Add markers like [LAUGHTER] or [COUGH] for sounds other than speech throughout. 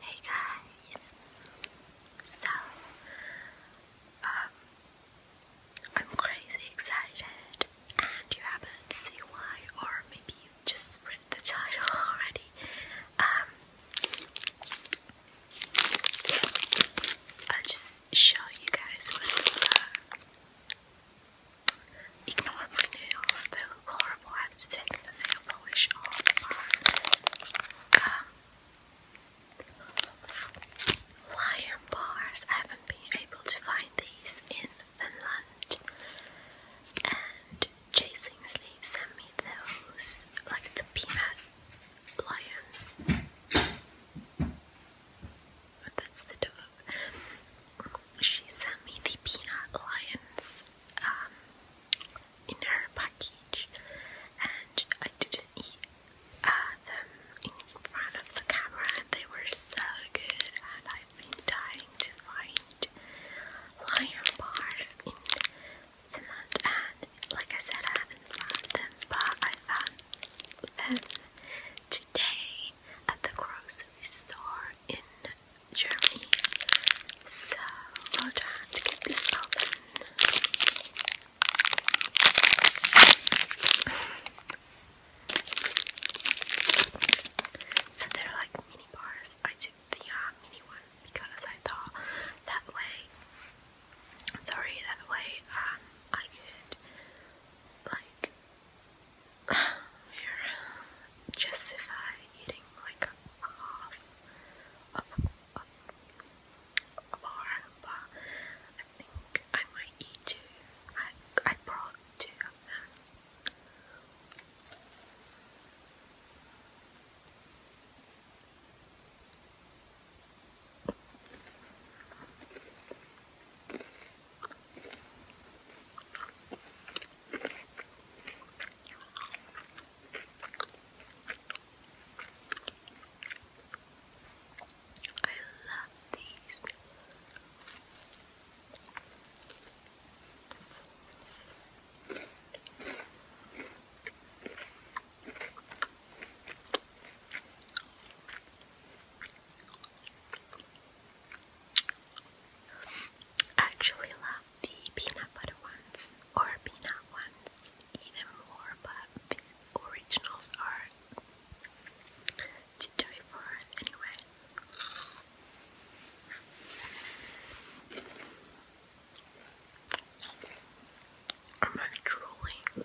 Hey guys, so um, I'm crazy excited, and you haven't seen why, or maybe you just read the title [LAUGHS] already. Um, I'll just show you guys what. Uh, Ignore my nails, they look horrible. I have to take the nail polish off. Um, lion bars. I haven't been able to find these in Finland. And Chasing Sleep sent me those, like the peanut lions. But that's the dog she sent me the Peanut Lions um, in her package, and I didn't eat uh, them in front of the camera, they were so good. And I've been dying to find lion bars in Finland, like I said, I haven't found them, but I found them today at the grocery store in Germany. So well done to get this open. so they're like mini bars. I took the mini ones because I thought that way. Sorry, that way um, I could like we're [SIGHS] justify eating like a half of but I think I might eat two. I, I brought two I love these. I actually love the peanut butter ones or peanut ones even more, but these originals are to die for anyway. am like drooling.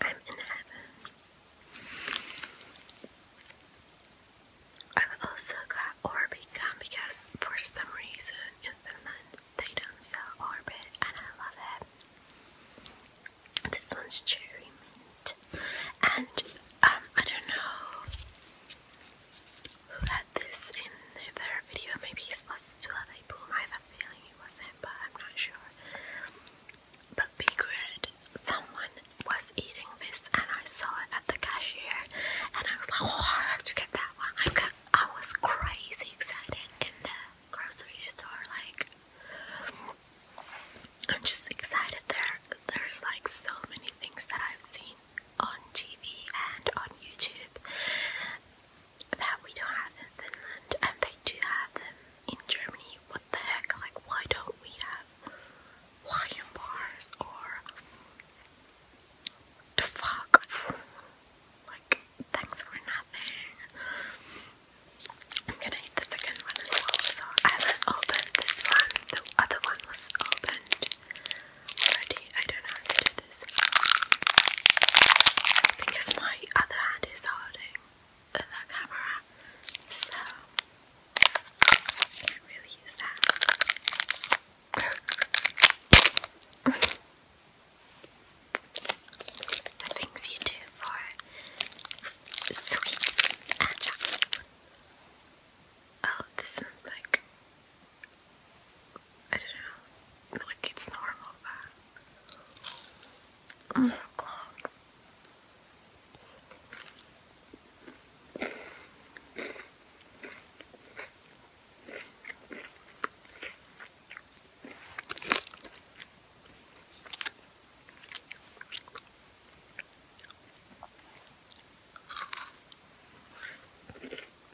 I'm in heaven. I've also got Orbicon because for some reason in Finland they don't sell Orbit and I love it. This one's cherry mint. And um, I don't know who had this in their video, maybe it was they pull my feeling it was him, but I'm not sure. But Big Red, someone was eating this, and I saw it at the cashier, and I was like, oh, I have to get that one. I got, I was crazy excited in the grocery store, like. I'm just excited there. There's like so many things that I've seen on TV and on YouTube that we don't have in Finland and they do have them in Germany. What the heck? Like, why don't we have lion bars or the fuck? Like, thanks for nothing. I'm gonna eat the second one as well. So I haven't opened this one, the other one was opened already. I don't know how to do this because my other hand is holding the camera, so I can't really use that. [LAUGHS] the things you do for sweets and Oh, this one's like I don't know, like it's normal, but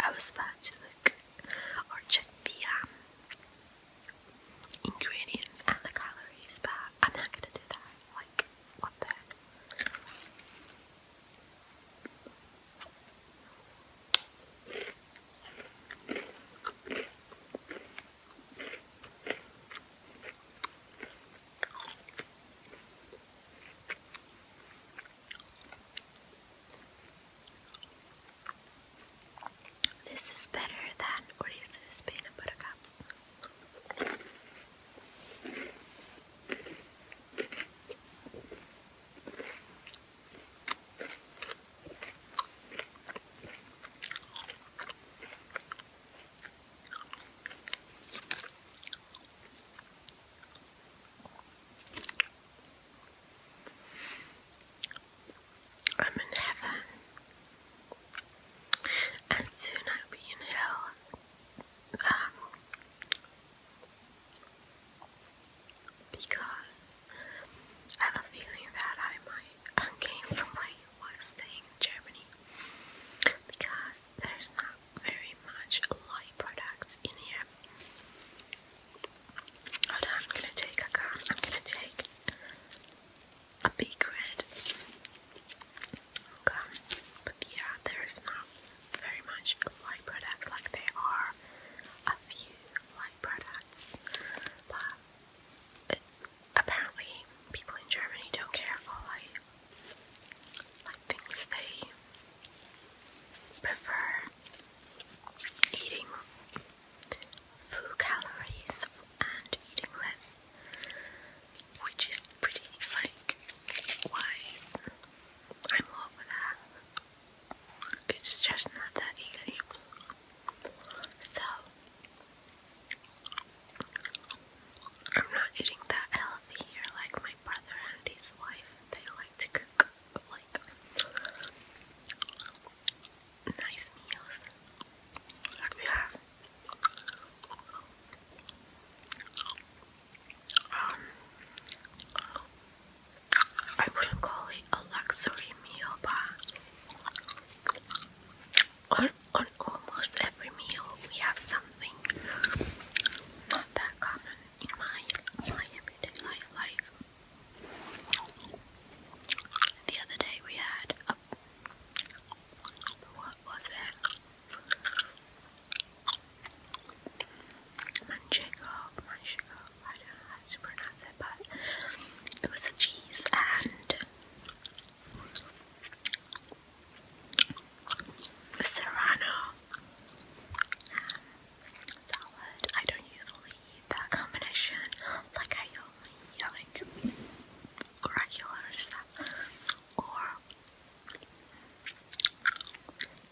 I was about to look or check the um, ingredients and the calories, but I'm not gonna do that. Like, what the heck? This is better than Reese's peanut butter cups. I'm in heaven, and soon I'll be in hell. Um, because I have a feeling that I might gain some weight while staying in Germany because there's not very much light products in here. Hold on, I'm gonna take a gun, I'm gonna take a big red gum, but yeah, there's not very much light products like there are a few light products, but uh, apparently people in Germany don't care for light like things they prefer eating full calories and eating less, which is pretty like wise. I'm all for that. It's just not that easy. So I'm not eating that healthy here like my brother and his wife. They like to cook like nice meals like we have. Um, I wouldn't call it a luxury meal, but on, on almost every meal we have something not common in my, my everyday life. the other day we had what was it? Manchego, manchego, I don't know how to pronounce it, but it was a cheese and serrano um, salad. I don't usually eat that combination. Like I only eat like regular stuff, or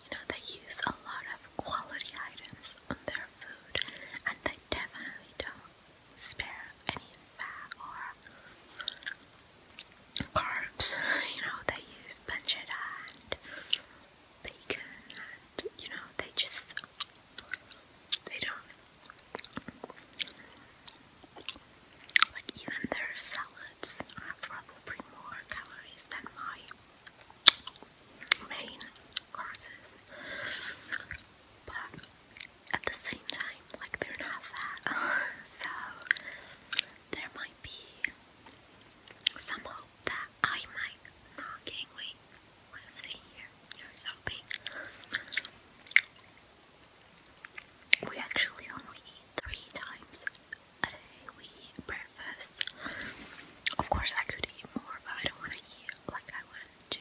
you know they use a lot of quality items on their food, and they definitely don't spare any fat or carbs, you know, they use pancetta and bacon and, you know, they just, they don't, like even their salads have probably more calories than my main courses, but at the same time, like they're not fat, [LAUGHS] so there might be some hope that I might not gain weight. What is it here? Here's hoping. We actually only eat three times a day. We eat breakfast. Of course, I could eat more, but I don't want to eat like I want to.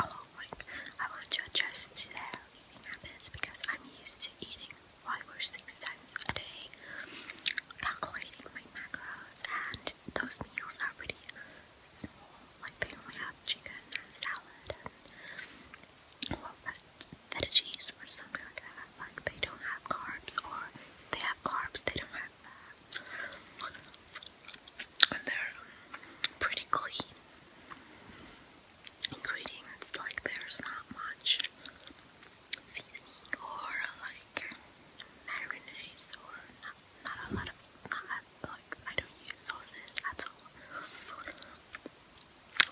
Although, like, I was to adjust to their eating habits because I'm used to eating five or six times a day, calculating my macros, and those meals are pretty small. Like, they only have chicken and salad and well, veggies or something like that. Like, they don't have carbs, or if they have carbs, they don't have that and they're um, pretty clean ingredients, like there's not much seasoning or like marinades or not a lot of, not like I don't use sauces at all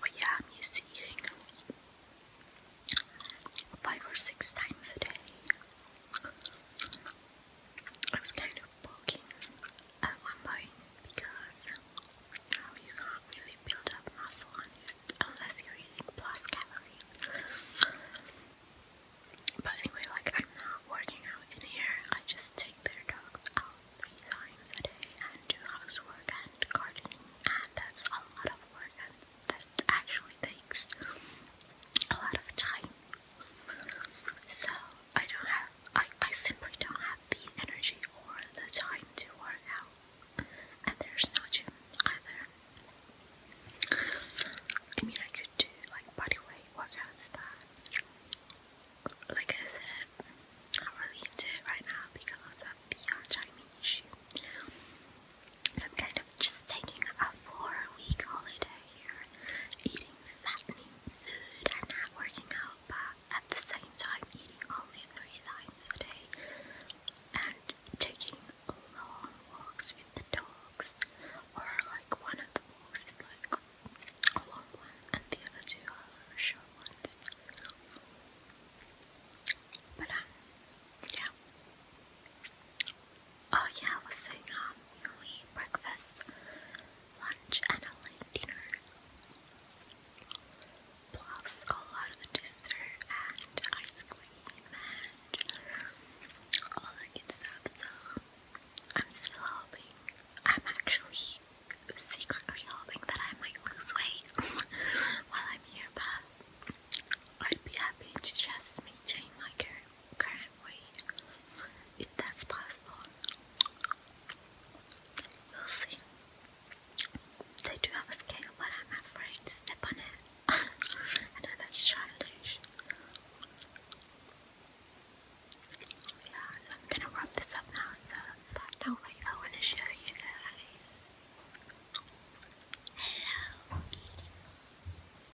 but yeah, I'm used to eating five or six times a day I was kind of poking at one point because you, know, you can't really build up muscle unless you're eating plus calories. But anyway, like I'm not working out in here. I just take their dogs out three times a day and do housework and gardening, and that's a lot of work and that actually takes a lot of time. So I don't have I, I simply don't have the energy or the time to work out. And there's no gym either. I mean I could do like bodyweight workouts but like I said, I'm really into it right now because of the timing issue. So I'm kind of just taking a four week holiday here, fattening food and not working out, but at the same time eating only three times a day and taking long walks with the dogs, or like one of the walks is like a long one and the other two are short ones. But um, yeah, Oh yeah, I was saying um, we breakfast, lunch, and a late dinner. Plus a lot of dessert and ice cream and all that good stuff. So I'm still hoping. I'm actually secretly hoping that I might lose weight [LAUGHS] while I'm here, but I'd be happy just maintain my current current weight, if that's possible. We'll see. They do have a scale, but I'm afraid to step on it. [LAUGHS] I know that's childish. Yeah, I'm gonna wrap this up now, so but no way I wanna show you guys. Hello,